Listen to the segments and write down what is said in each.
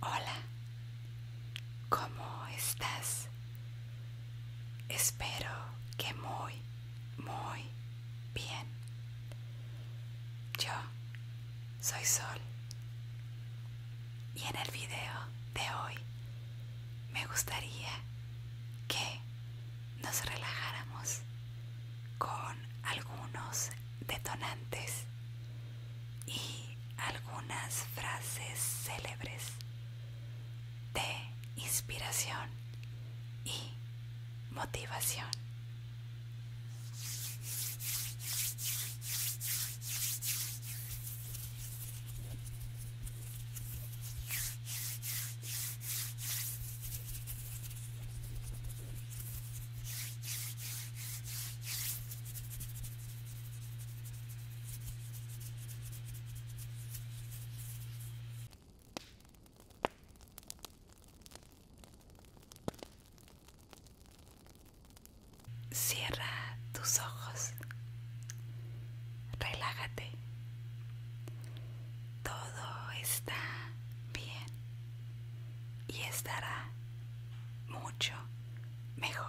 Hola, ¿cómo estás? Espero que muy, muy bien. Yo soy Sol y en el video de hoy me gustaría que nos relajáramos con algunos detonantes y algunas frases célebres de inspiración y motivación. Cierra tus ojos, relájate, todo está bien, y estará mucho mejor.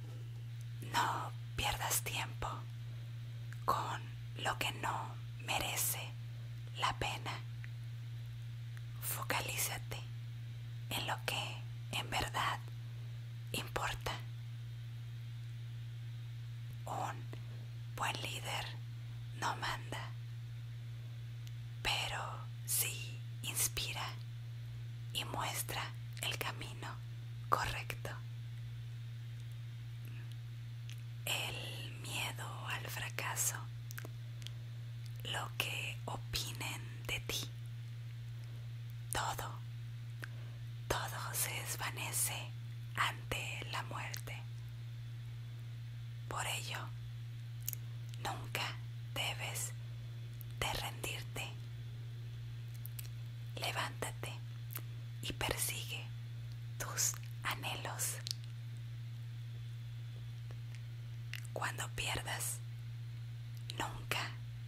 No pierdas tiempo con lo que no merece la pena. Focalízate en lo que en verdad importa. Un buen líder no manda, pero sí inspira y muestra el camino correcto el miedo al fracaso, lo que opinen de ti, todo, todo se desvanece ante la muerte. Por ello, nunca debes de rendirte levántate y persigue tus anhelos. Cuando pierdas, nunca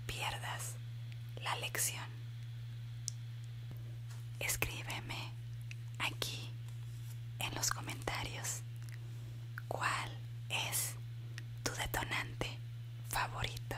pierdas la lección. Escríbeme aquí en los comentarios cuál es tu detonante favorito.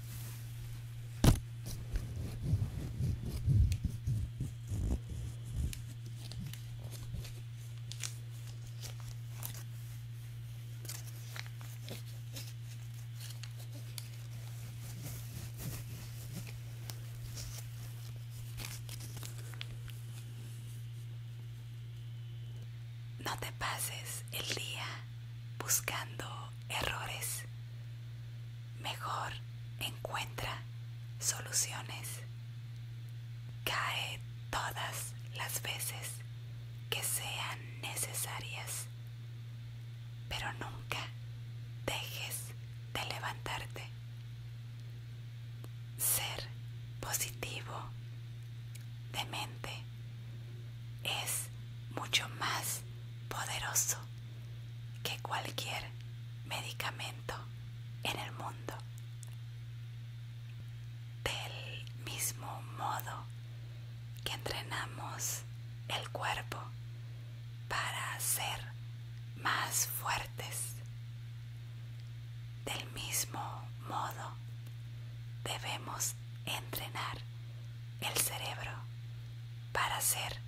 No te pases el día buscando errores. Mejor encuentra soluciones. Cae todas las veces que sean necesarias, pero nunca dejes de levantarte. Ser positivo, de mente es mucho más poderoso que cualquier medicamento en el mundo. Del mismo modo que entrenamos el cuerpo para ser más fuertes, del mismo modo debemos entrenar el cerebro para ser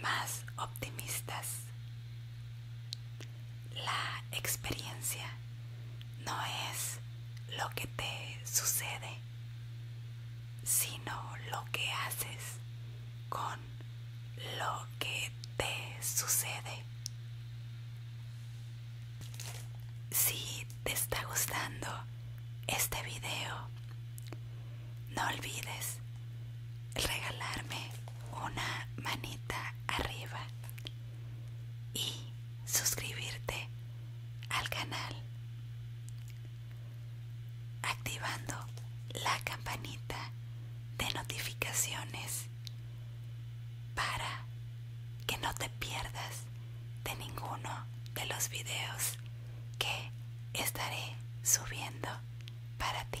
más optimistas. La experiencia no es lo que te sucede, sino lo que haces con lo que te sucede. Si te está gustando este video. No olvides regalarme una manita arriba y suscribirte al canal activando la campanita de notificaciones para que no te pierdas de ninguno de los videos que estaré subiendo para ti.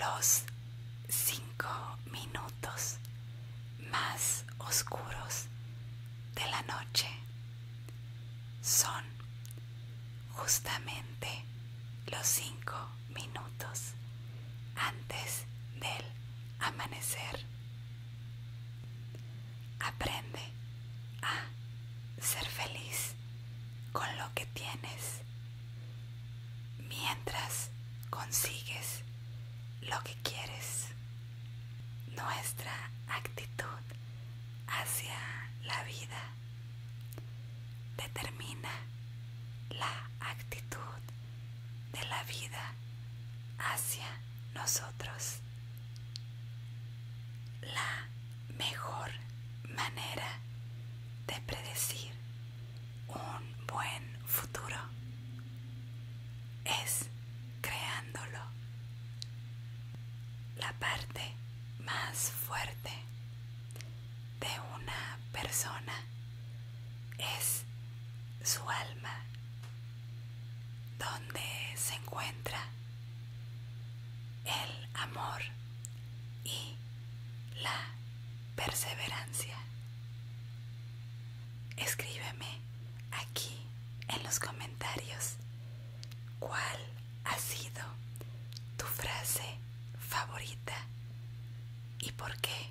Los cinco minutos más oscuros de la noche son justamente los cinco minutos antes del amanecer. Aprende a ser feliz con lo que tienes mientras consigues lo que quieres. Nuestra actitud hacia la vida determina la actitud de la vida hacia nosotros. La mejor manera de predecir un buen futuro es creándolo. La parte más fuerte de una persona es su alma donde se encuentra el amor y la perseverancia. Escríbeme aquí en los comentarios cuál ha sido tu frase favorita y por qué.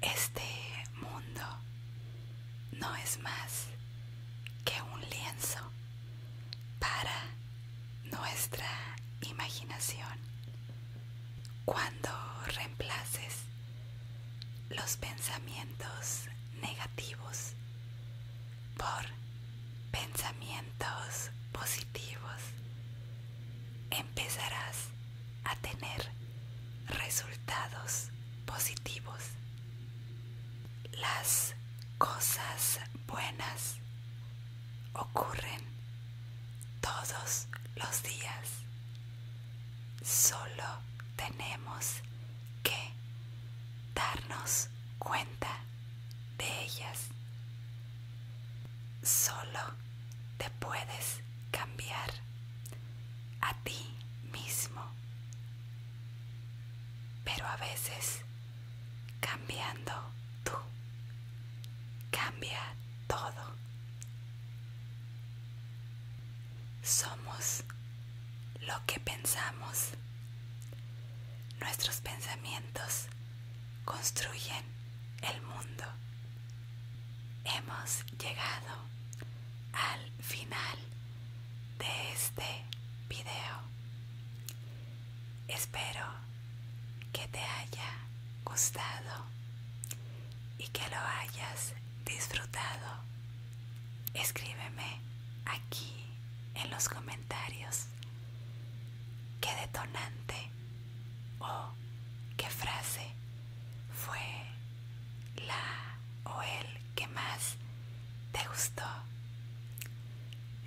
este mundo no es más que un lienzo para nuestra imaginación. Cuando reemplaces los pensamientos negativos por pensamientos positivos empezarás a tener resultados positivos. Las cosas buenas ocurren todos los días. Solo tenemos que darnos cuenta de ellas. Solo te puedes cambiar a ti mismo, pero a veces cambiando tú cambia todo. Somos lo que pensamos. Nuestros pensamientos construyen el mundo. Hemos llegado al final de este video. Espero que te haya gustado y que lo hayas disfrutado. Escríbeme aquí en los comentarios ¿Qué detonante o qué frase fue la o el que más te gustó?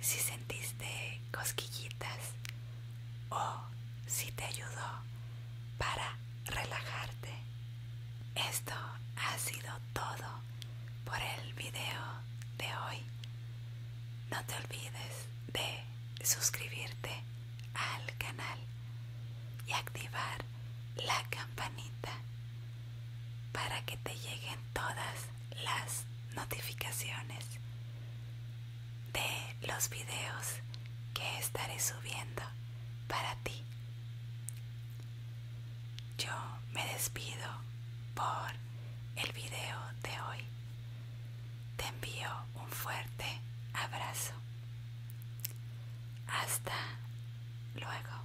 Si sentiste cosquillitas o si te ayudó para relajarte. Esto ha sido todo por el video de hoy. No te olvides de suscribirte al canal y activar la campanita para que te lleguen todas las notificaciones de los videos que estaré subiendo para ti. Yo me despido por el video de hoy. Te envío un fuerte abrazo. Hasta luego.